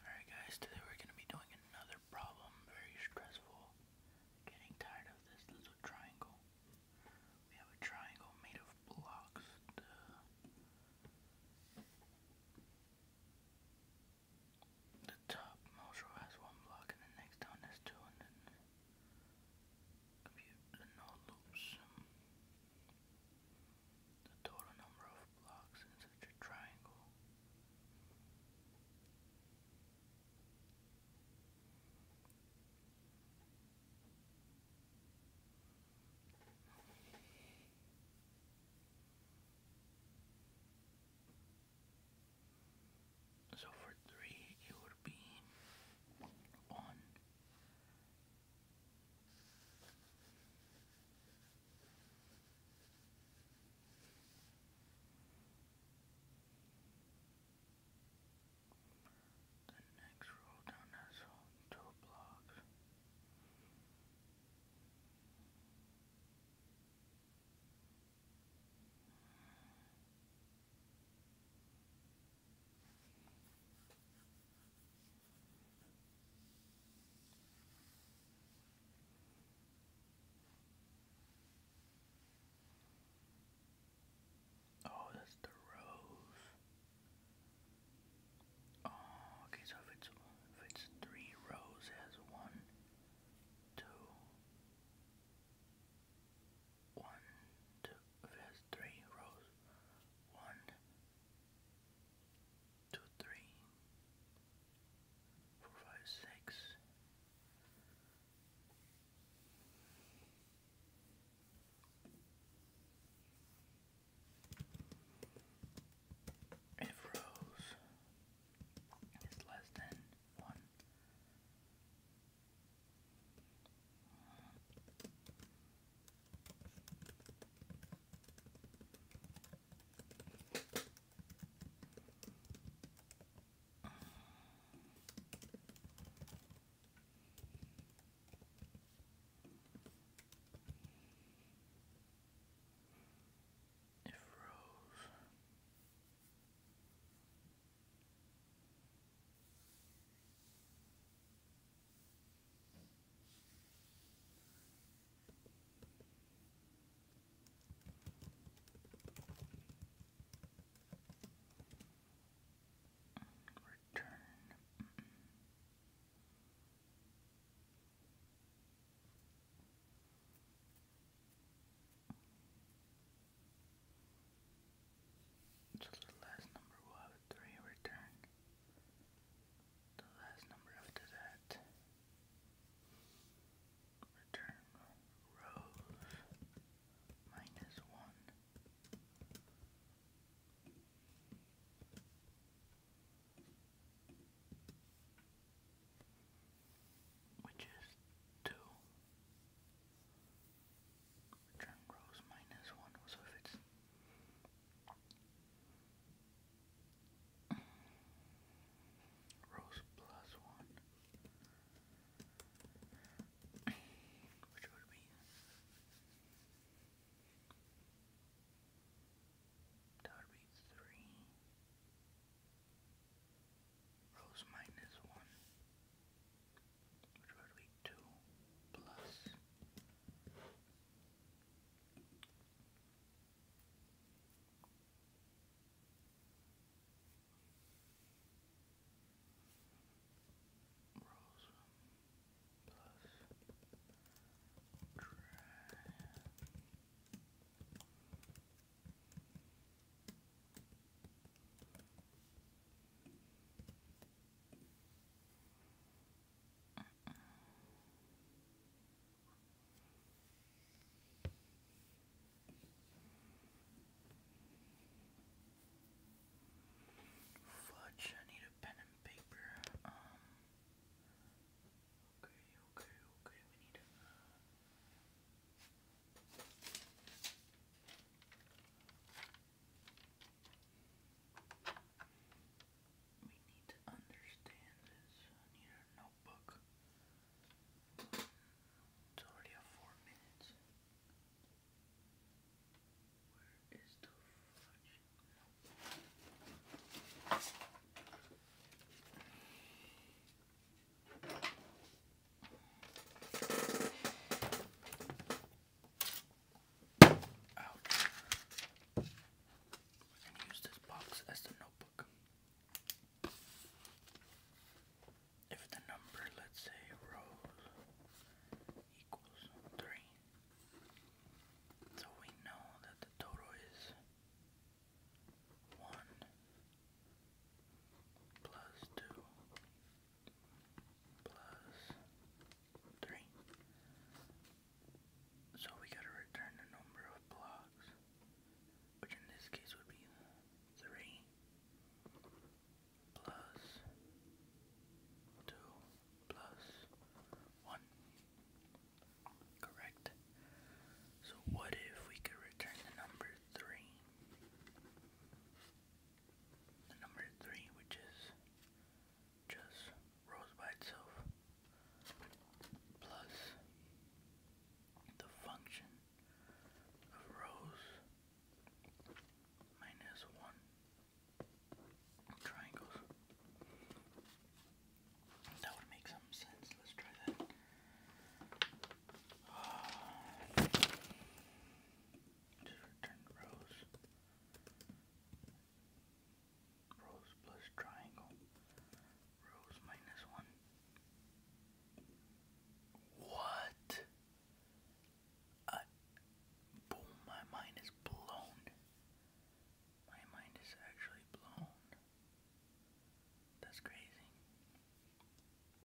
Alright guys, today we're going to be doing another problem, very stressful. Getting tired of this little triangle. We have a triangle made of blocks. The, top most row has one block and the next down has two and then compute the no loops the total number of blocks in such a triangle. So for three, it would be one, the next row down has two blocks. Oh, that's the rows. Oh, okay, so if it's if it's three rows, has one, two, one, two. If it three rows, one, two, three, four, five, six. If rows is less than one, if Rose Return. So the last number will three return the last number after that. Return rows minus one. Which is two. Return rows minus one, so if it's rows plus one, which would be that would be three rows minus one which would be 2 plus 1 plus Tran Fudge, I need a pen and paper. Um, okay, okay, okay, we need uh, we need to understand this. I need a notebook. It's already four minutes. Where is the fudge? Ouch. We can use this box as the notebook. If the number, let's say, rows equals 3, so we know that the total is 1 plus 2 plus 3. So we gotta return the number of blocks, which in this case would be 3 plus 2 plus 1. Correct. So what if we could return the number 3? the number three, which is just rose by itself, plus the function of rose minus one triangles. That would make some sense. Let's try that. Just return rows. Rows plus triangle. Rows minus one. What? I, boom, my mind is blown. My mind is actually blown. That's crazy.